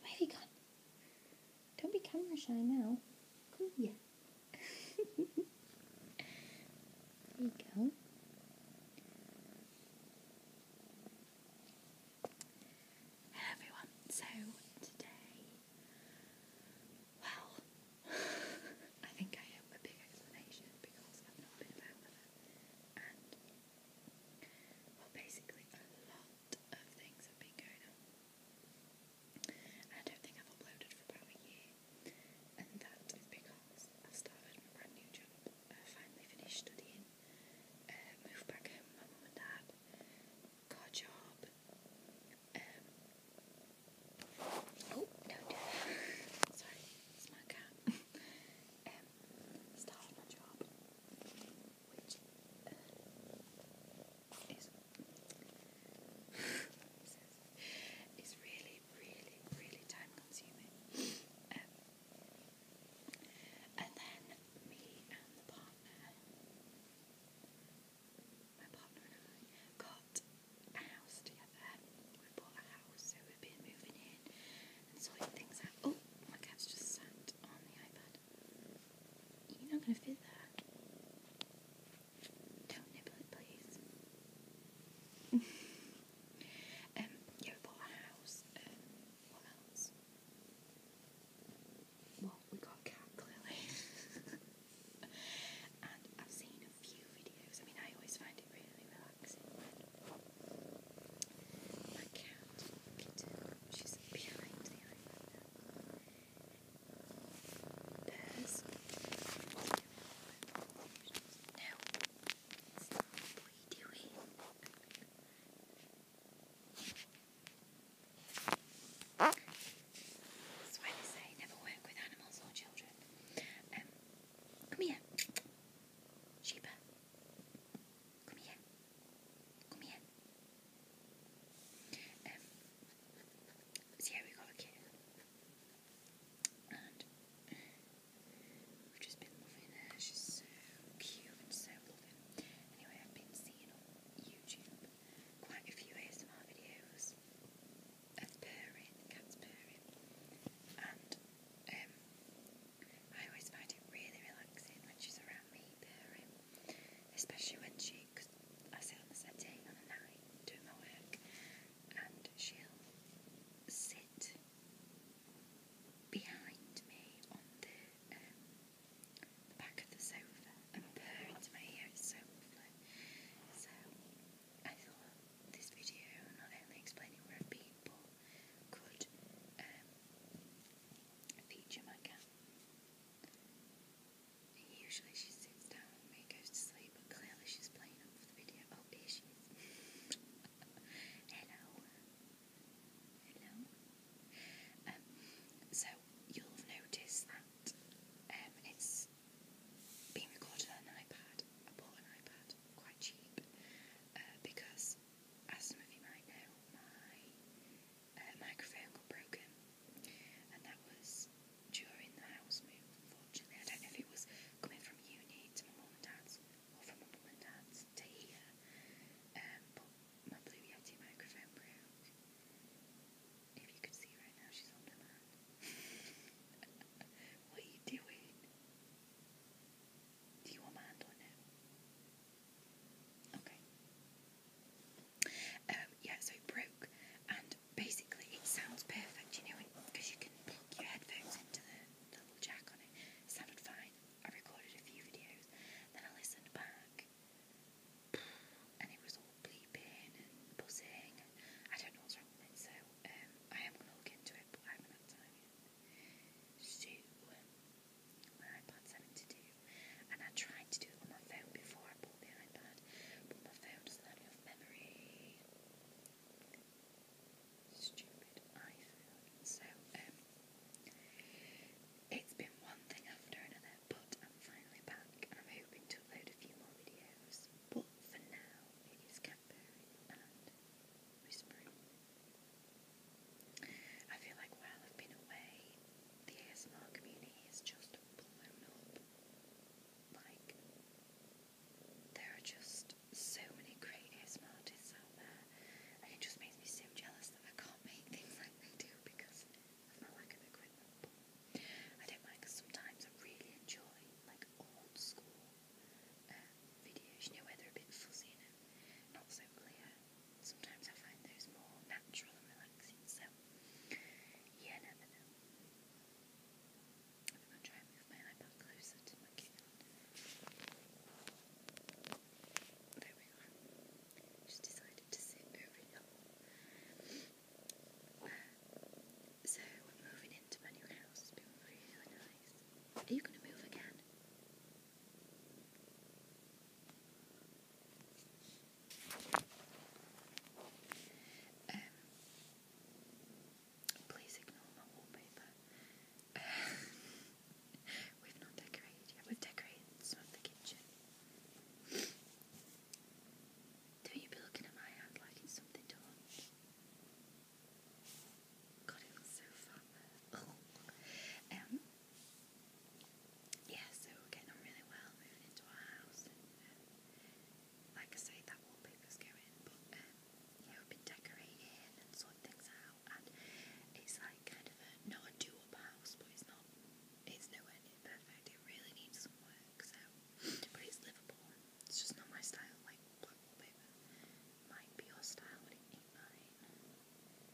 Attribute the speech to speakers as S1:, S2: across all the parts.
S1: Where have you gone? Don't be camera shy now. Come here. there you go. Hello everyone. So today, well, I think I owe a big explanation because I've not been about with her, and well, basically a lot of things have been going on. I don't think I've uploaded for about a year, and that is because i started my brand new job. Uh, finally finished studying, uh, moved back home my mum and dad, got a job. Um, oh, no, sorry, it's my cat. Um, started my job, which really, really, really time consuming. Um, and then me and the partner, my partner and I, got a house together. We bought a house, so we've been moving in and sorting things out. Oh, my cat's just sat on the iPad. You're not gonna fit that. Don't nibble it, please. Um, yeah, we bought a house. Um, what else? Well, we got a cat, clearly. and I've seen a few videos. I mean, I always find it really relaxing my cat, Peter, she's behind the island now. There's now it's doing. That's why they say never work with animals or children. come here. Sheba. Come here. Kom igen. Um, so yeah, we got a we've just been loving her. She's so cute and so loving. Anyway, I've been seeing on YouTube quite a few ASMR videos of purring, cats purring. And um, I always find it really relaxing when she's around me purring, especially when she, I sit on the settee on a night doing my work and she'll sit behind me on um, the, back of the sofa and purr into my ear, it's so lovely. So I thought this video not only explaining where I've been but could um, feature my cat. Usually she sits down with me, goes to sleep, but clearly she's playing up for the video. Oh, here she is. Hello. Hello. Um, so, you'll have noticed that um, it's being recorded on an iPad. I bought an iPad, quite cheap, uh, because as some of you might know, my uh, microphone got broken, and that was during the house move. Unfortunately, I don't know if it was coming from uni to my mum and dad's or from my mum and dad's to here, um, but my Blue Yeti microphone broke. If you could see right now, she's on the man. what are you doing? Do you want my hand or Okay. Um, yeah, so it broke, and basically it sounds perfect, you know, because you can plug your headphones into the, little jack on it. It sounded fine. I recorded a few videos, then I listened back, and it was all bleeping and buzzing. I don't know what's wrong with it, so um, I am going to look into it, but I haven't had time So, my iPad's having to do. And I tried to do it on my phone before I bought the iPad, but my phone doesn't have enough memory. Stupid iPhone. So, um, it's been one thing after another, but I'm finally back and I'm hoping to upload a few more videos. But for now, it is Cadbury and Whispering. I feel like while I've been away, the ASMR community has just blown up. Like, there are just so many great ASMR artists out there, and it just makes me so jealous that I can't make things like they do because of my lack of equipment. I don't mind because sometimes I really enjoy like old school uh, videos, you know, where they're a bit fuzzy and not so clear sometimes I find those more natural and relaxing. So, yeah, never I'm going to try and move my iPad closer to my keyboard. There we go. Just decided to sit So, we're moving into my house. It's been really nice. Are you going to move again? Um, please ignore my wallpaper. we've not decorated We've decorated some of the kitchen. Don't you be looking at my hand like it's something to watch? it looks so fun. Um, yeah, so we're getting on really well, moving into our house, um, like I say, that wallpaper's going, but um, we've been decorating and sorting things out, and it's like kind of a, not a house, but it's not, it's nowhere near perfect, it really needs some work, but it's livable, it's just not my style, like black wallpaper might be your style, but it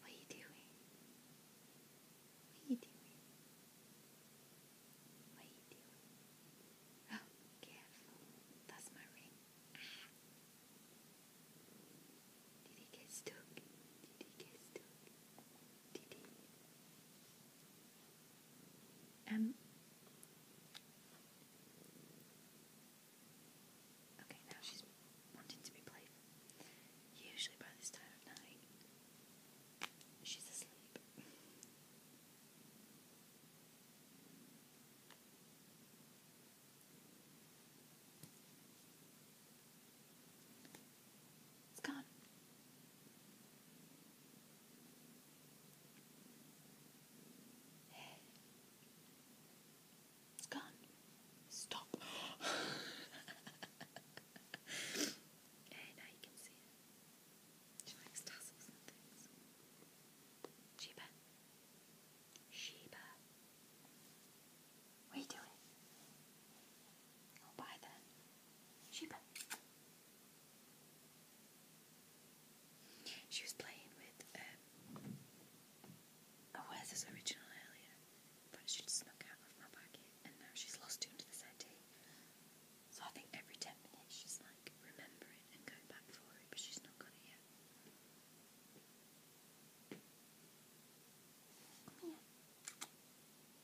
S1: What are you doing? What are you doing? What are you doing? Oh, careful. That's my ring. Did he get stuck? Did he get stuck? Did he? Um, Okay, now she's wanting to be playful. Usually by this time of night, she's asleep. It's gone. It's gone. Stop. hey, now you can see it. Sheba. Sheba. What are you doing? I'll buy that. Sheba. She was playing with um, Oh, where's this original earlier, but she'd snuck out of my pocket and now she's lost two to the settee. So I think every ten minutes she's like remembering and going back for it, but she's not got it yet. Come here.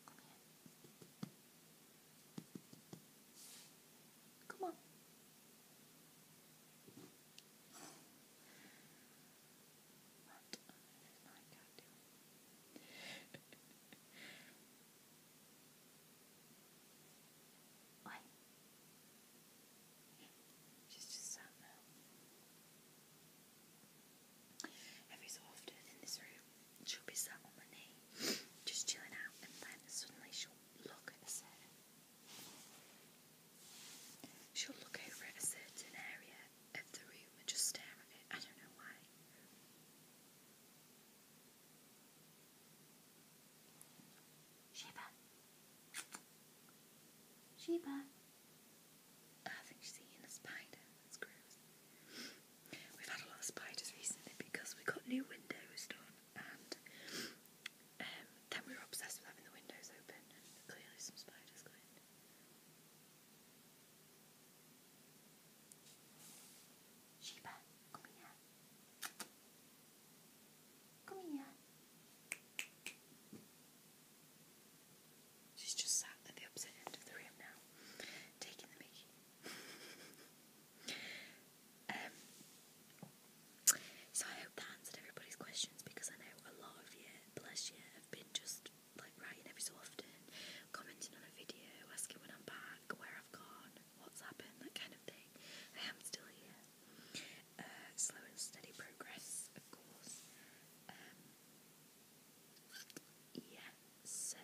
S1: Come here. Come on. What on just sat now. Every so in this room, she'll be sat on my knee, just chilling out, and then suddenly she'll look at a certain She'll look over at a certain area of the room and just stare at it. I don't know why. Sheba. Sheba. I think she's eating a spider. That's gross. We've had a lot of spiders recently because we got new windows done um, then we were obsessed with having the windows open, clearly some spiders got Sheba, come here. Come here. She's just sat at the opposite end of the room now, taking the Mickey. um, so I hope that answered everybody's questions because I know a lot of you, bless you, have been just like writing every so often, commenting on a video, asking when I'm back, where I've gone, what's happened, that kind of thing. I am still here. Uh, slow and steady progress, of course. Um, yeah, so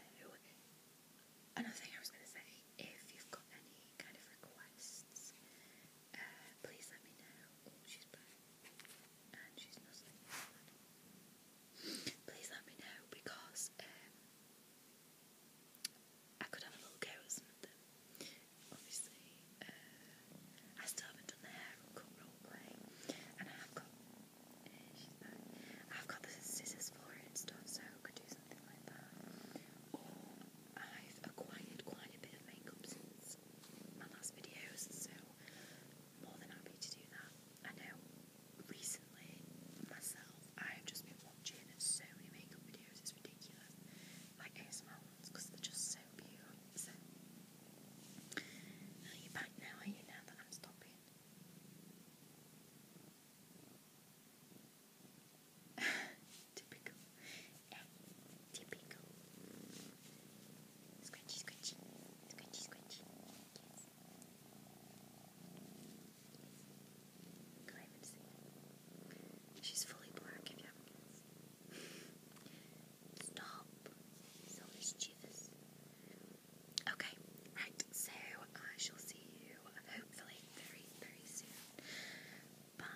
S1: another thing I was going to say if you've got any kind of requests uh, please let me know. she's back. And she's nuzzling me. Please let me know because um, I could have a little go at some of them. Obviously, uh, I still haven't done the hair and cut role play. And I have got, uh, she's back. I've got the scissors for it and stuff, so could do something like that. Or I've acquired quite a bit of makeup since comments my last videos, so more than happy to do that. I know recently myself I've just been watching so many makeup videos, it's ridiculous. Like ASMR ones, they're just so pure. So are you back now, are you now that I'm stopping? Typical typical. Scratchy, scratchy, scratchy, scratchy. Yes. She's fully black Stop. So mischievous. Okay, right, so I shall see you hopefully very, very soon. Bye.